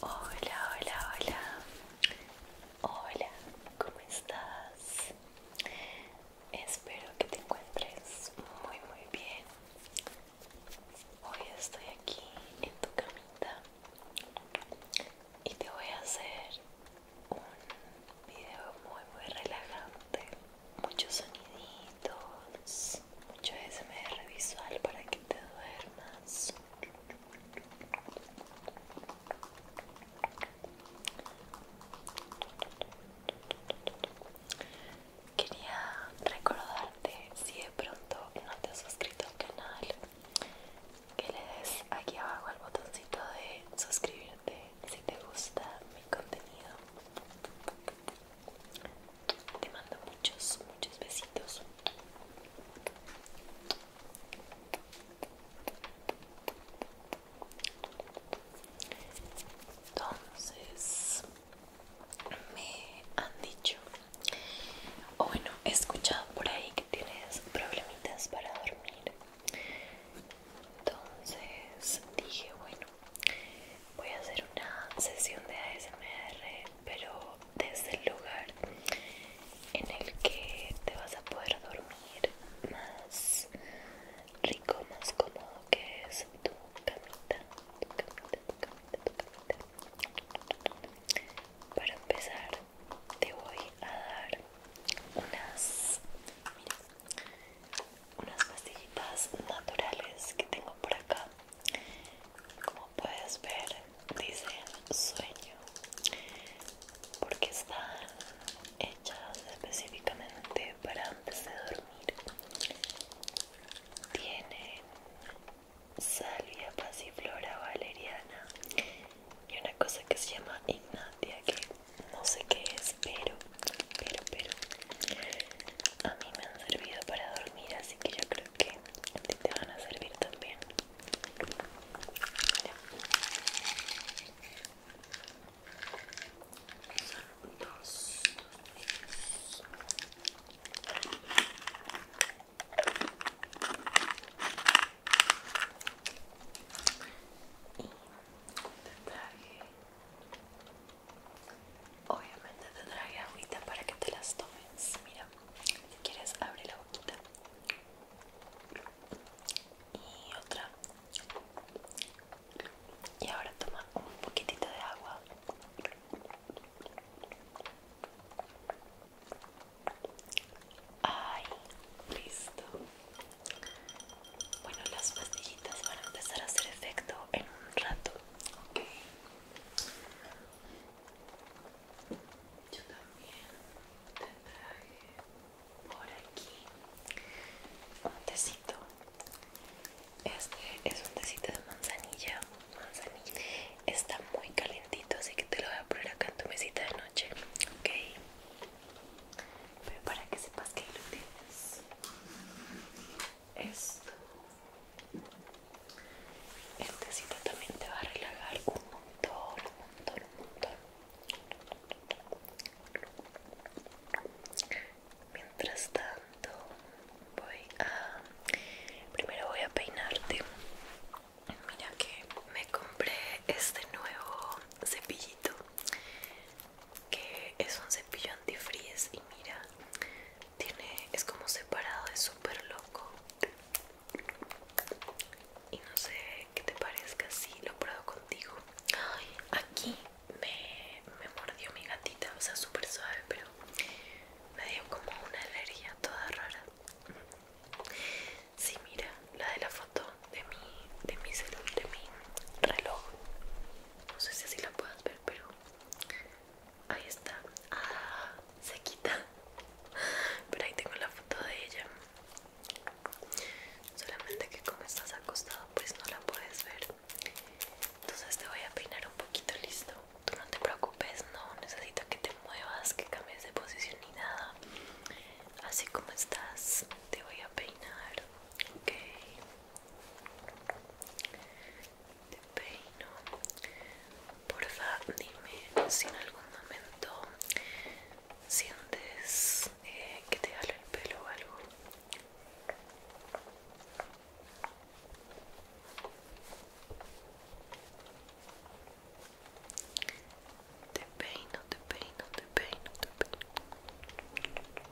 Hola, hola, hola. Hola, ¿cómo estás? Espero que te encuentres muy, muy bien. Hoy estoy aquí en tu camita y te voy a hacer un video muy, muy relajante. Muchos soniditos mucho SMR visual para que te duermas. Quería recordarte si de pronto no te has suscrito al canal que le des aquí abajo al botoncito de suscribirte si te gusta mi contenido te mando muchos, muchos besitos. Entonces, me han dicho, o bueno, he escuchado por ahí que tienes problemitas para dormir. Entonces dije, bueno, voy a hacer una sesión de ASMR pero desde el lugar en el que te vas a poder dormir más rico, más cómodo que es tu camita, tu camita, tu camita, tu camita. Para empezar te voy a dar unas unas pastillitas naturales que tengo por acá como puedes ver dicen sueño porque están hechas específicamente para antes de dormir Tiene salvia pasiflora valeriana y una cosa que se llama ignatia que no sé qué es pero pero pero a mí me han servido para dormir así que yo creo que te van a servir también Son Obviamente te traje agüita para que te las tomes. Mira, si quieres abre la boquita. Y otra. Y ahora toma un poquitito de agua. Ay, listo. Bueno, las pastillitas van a empezar a hacer efecto en un rato. Ok. Yo también te traje por aquí un tecito. Este es un tecito de manzanilla. manzanilla. Está muy calentito así que te lo voy a poner acá en tu mesita de noche. Ok. Pero para que sepas que lo tienes esto este también te va a relajar un montón, un montón, un montón mientras tanto voy a primero voy a peinarte mira que me compré este nuevo cepillito que es un cepillo antifreeze y mira, tiene es como separado, es súper loco. Y no sé qué te parezca si lo pruebo contigo. aquí me, me mordió mi gatita, o sea, súper suave, pero me dio como una alergia toda rara. Sí, mira, la de la foto de mi, de mi, celular, de mi reloj no sé si así la puedas ver pero ahí está ah, se quita pero ahí tengo la foto de ella solamente que como estás acostado pues no la puedes ver entonces te voy a peinar un poquito listo tú no te preocupes no necesito que te muevas que cambies de posición ni nada así como estás te voy a peinar ok te peino. Porfa, dime si en algún momento sientes eh, que te jalo el pelo o algo. Te peino, te peino, te peino, te peino.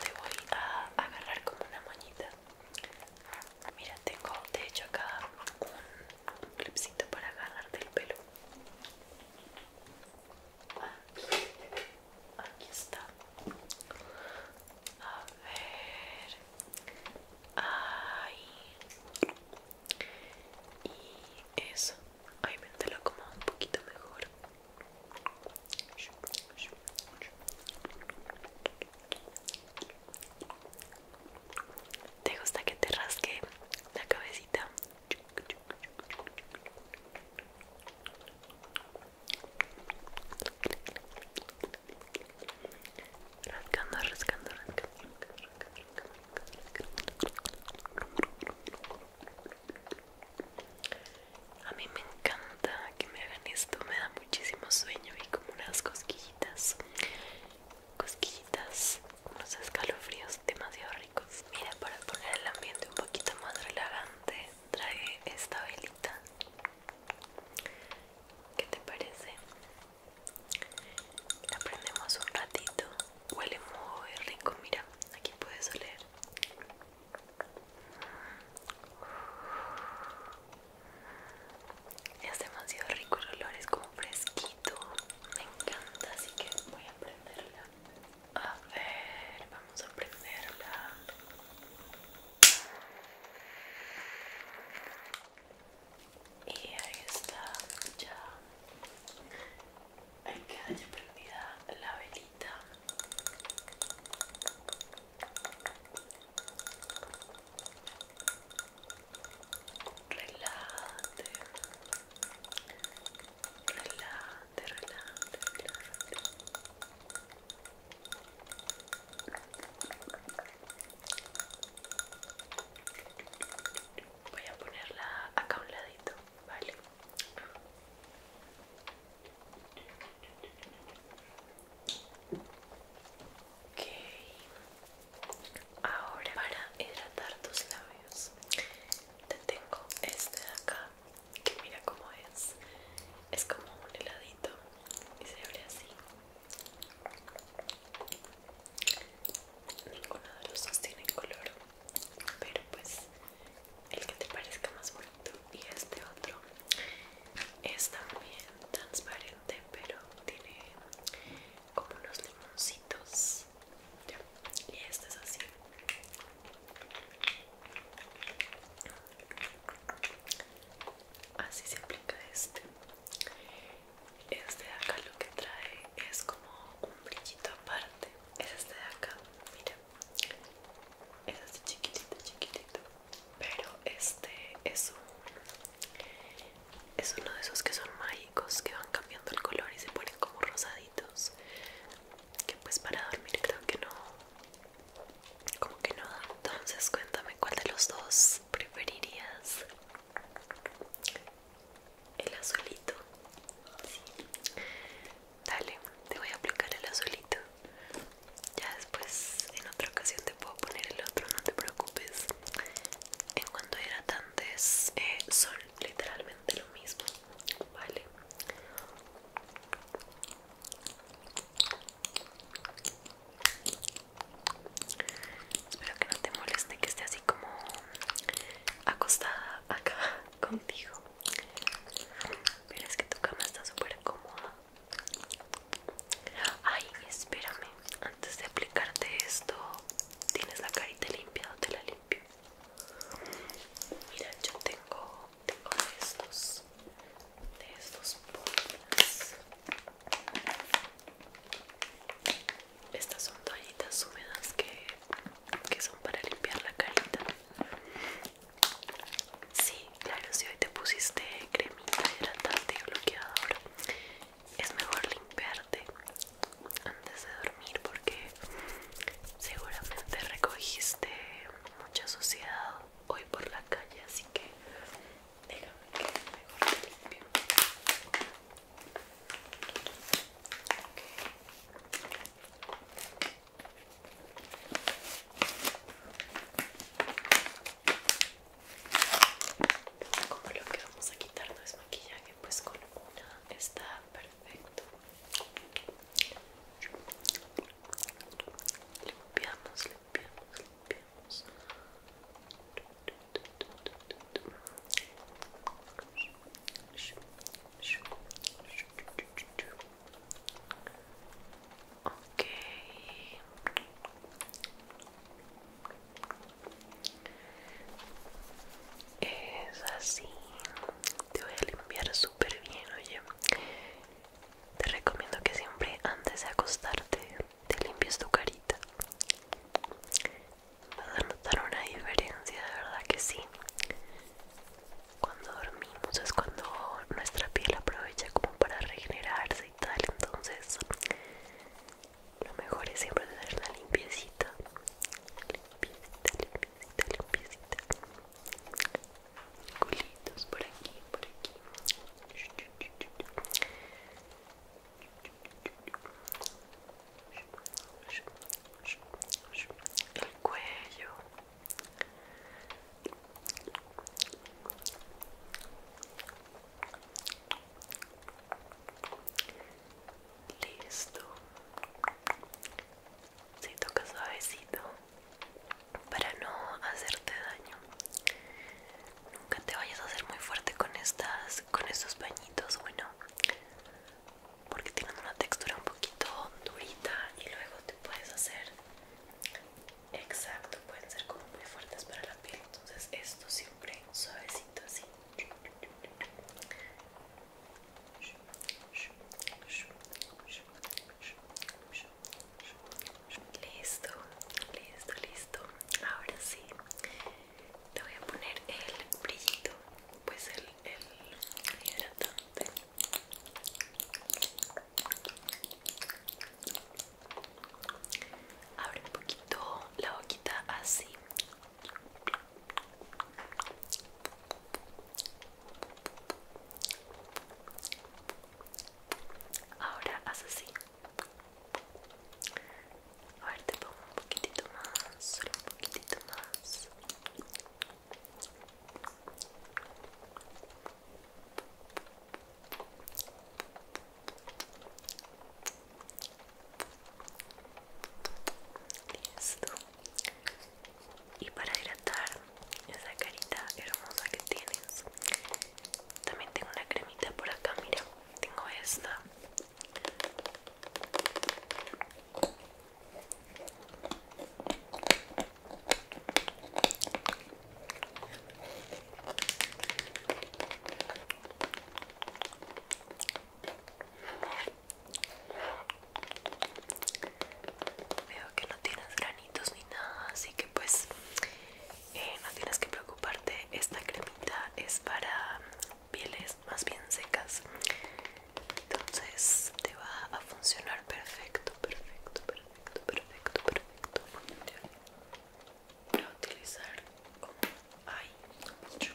te voy a agarrar como una moñita. Mira, tengo de hecho acá un clipcito para agarrarte el pelo. Aquí está. A ver. Ahí. Y eso. Ay, me lo un poquito mejor. ¿Te gusta que te rasque la cabecita? rascando, rascando, rascando. A mí me encanta que me hagan esto, me da muchísimo sueño y como unas cosquillitas, cosquillitas, unos escalofríos demasiado ricos. Mira, para poner el ambiente un poquito más relajante, trae esta velita. ¿Qué te parece? La prendemos un ratito Huele muy rico, mira, aquí puedes oler. Es demasiado rico el olor, es como fresquito. Me encanta, así que voy a prenderla. A ver, vamos a prenderla. Y ahí está, ya en que haya prendida la velita relájate relájate, relájate, voy a ponerla acá a un ladito Vale. Ok. Ahora para hidratar tus labios te tengo este de acá que mira cómo es. Es como un heladito y se abre así. Ninguno de los dos tiene color, pero pues el que te parezca más bonito y este otro es también transparente pero tiene como unos limoncitos y este es así así se aplica este este acá lo que trae es como un brillito aparte es este de acá mira es así este chiquitito chiquitito pero este es es uno de esos que son mágicos que van cambiando el color y se ponen como rosaditos que pues para dormir creo que no como que no da entonces cuéntame cuál de los dos preferirías el azulito dale te voy a aplicar el azulito ya después en otra ocasión te puedo poner el otro no te preocupes en cuanto era hidratantes eh, son literalmente lo mismo vale Espero que no te moleste que esté así como acostada acá contigo ves es que tu cama está súper cómoda. Ay, espérame. Antes de aplicarte esto, ¿tienes la carita limpia o te la limpio? Mira, yo tengo, tengo de estos, de estos polvos. Estas son toallitas húmedas que que son para limpiar la carita. Sí, claro, si hoy te pusiste cremita hidratante y bloqueador, es mejor limpiarte antes de dormir porque seguramente recogiste mucha suciedad hoy por la calle, así que déjame que mejor te limpio. Como lo que vamos a quitar no es maquillaje, pues con una está perfecto. Limpiamos, limpiamos, limpiamos. Ok. Es así. Te voy a limpiar súper bien, oye. Te recomiendo que siempre antes de acostarte te limpies tu carita vas a notar una diferencia, de verdad que sí. Cuando dormimos es cuando nuestra piel aprovecha como para regenerarse y tal, entonces lo mejor es siempre tener la limpiecita. Limpiecita, limpiecita, limpiecita. por aquí, por aquí el cuello listo si tocas toca suavecito para no hacerte daño nunca te vayas a hacer muy fuerte con estas con estos pañitos bueno porque tienen una textura un poquito durita y luego te puedes hacer exacto pueden ser como muy fuertes para la piel entonces esto siempre suavecito así listo listo listo ahora sí te voy a poner el brillito pues el el hidratante abre un poquito la boquita así ahora haz así a ver, te pongo un poquitito más, solo un poquitito más. Listo. Y para hidratar esa carita hermosa que tienes, también tengo una cremita por acá. Mira, tengo esta Veo que no tienes granitos ni nada, así que pues eh, no tienes que preocuparte. Esta cremita es para pieles más bien secas entonces te va a funcionar perfecto perfecto perfecto perfecto perfecto perfecto utilizar como hay mucho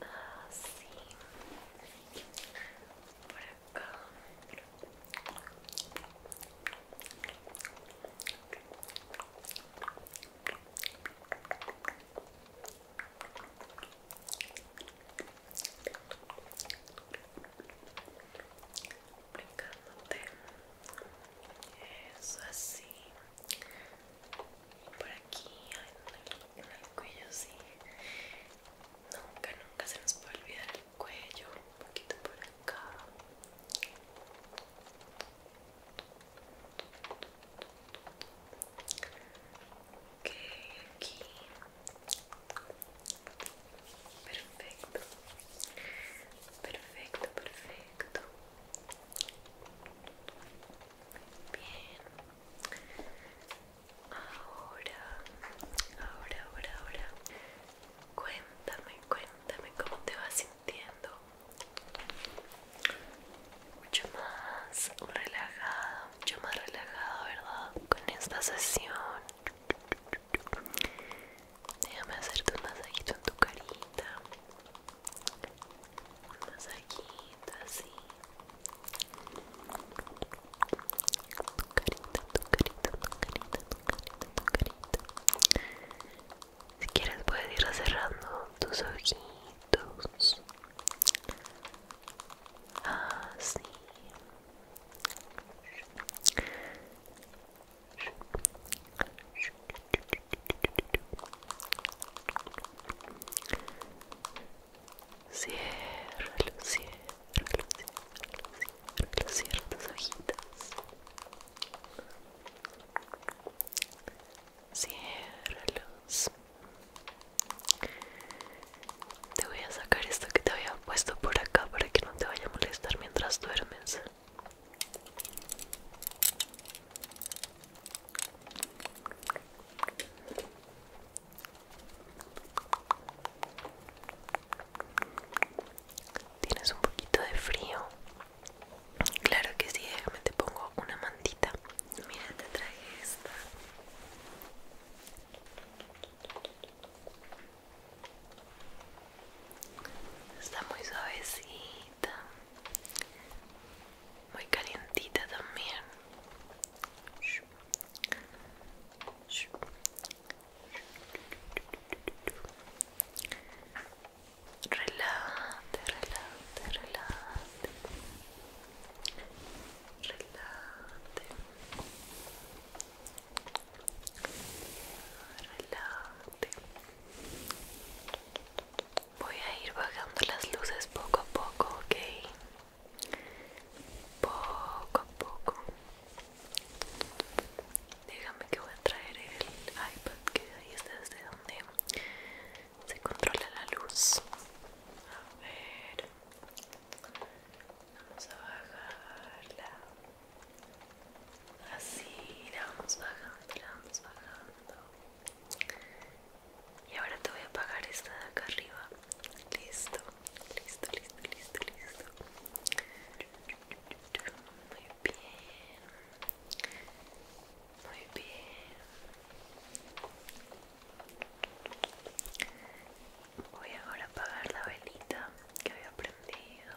Ah, sí. Por acá. Brincándote eso así Y por aquí en el cuello sí nunca nunca se nos puede olvidar el cuello un poquito por acá ok aquí perfecto perfecto perfecto Bien. Ahora, ahora, ahora, ahora. Cuéntame, cuéntame cómo te vas sintiendo. Mucho más relajado, mucho más relajado, ¿verdad? Con esta sesión. Déjame hacerte un masajito en tu carita. Un masajito así. Tu carita, tu carita, tu carita, tu carita, tu carita. Si quieres puedes ir cerrando tus ojitos. Así los cierra luz, cierra tus hojitas. Ciérralos. Te voy a sacar esto que te había puesto por acá para que no te vaya a molestar mientras duermes. Tienes un poquito de frío. Claro que sí, déjame te pongo una mantita. Mira, te traje esta. Está muy suavecita, muy calientita también. Relájate, relájate, relájate. Relájate. Relájate. Voy a ir bajando las luces poco a poco, ok. Poco a poco. Déjame que voy a traer el iPad, que ahí está desde donde se controla la luz. A ver. Vamos a bajarla así la vamos bajando la vamos bajando y ahora te voy a apagar esta de acá arriba listo listo listo listo listo muy bien muy bien voy ahora a apagar la velita que había prendido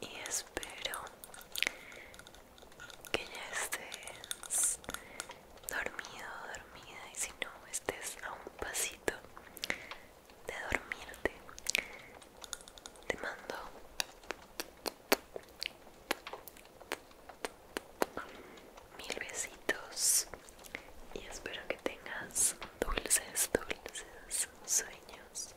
y espero que ya estés dormido, dormida y si no estés a un pasito de dormirte te mando mil besitos y espero que tengas dulces, dulces sueños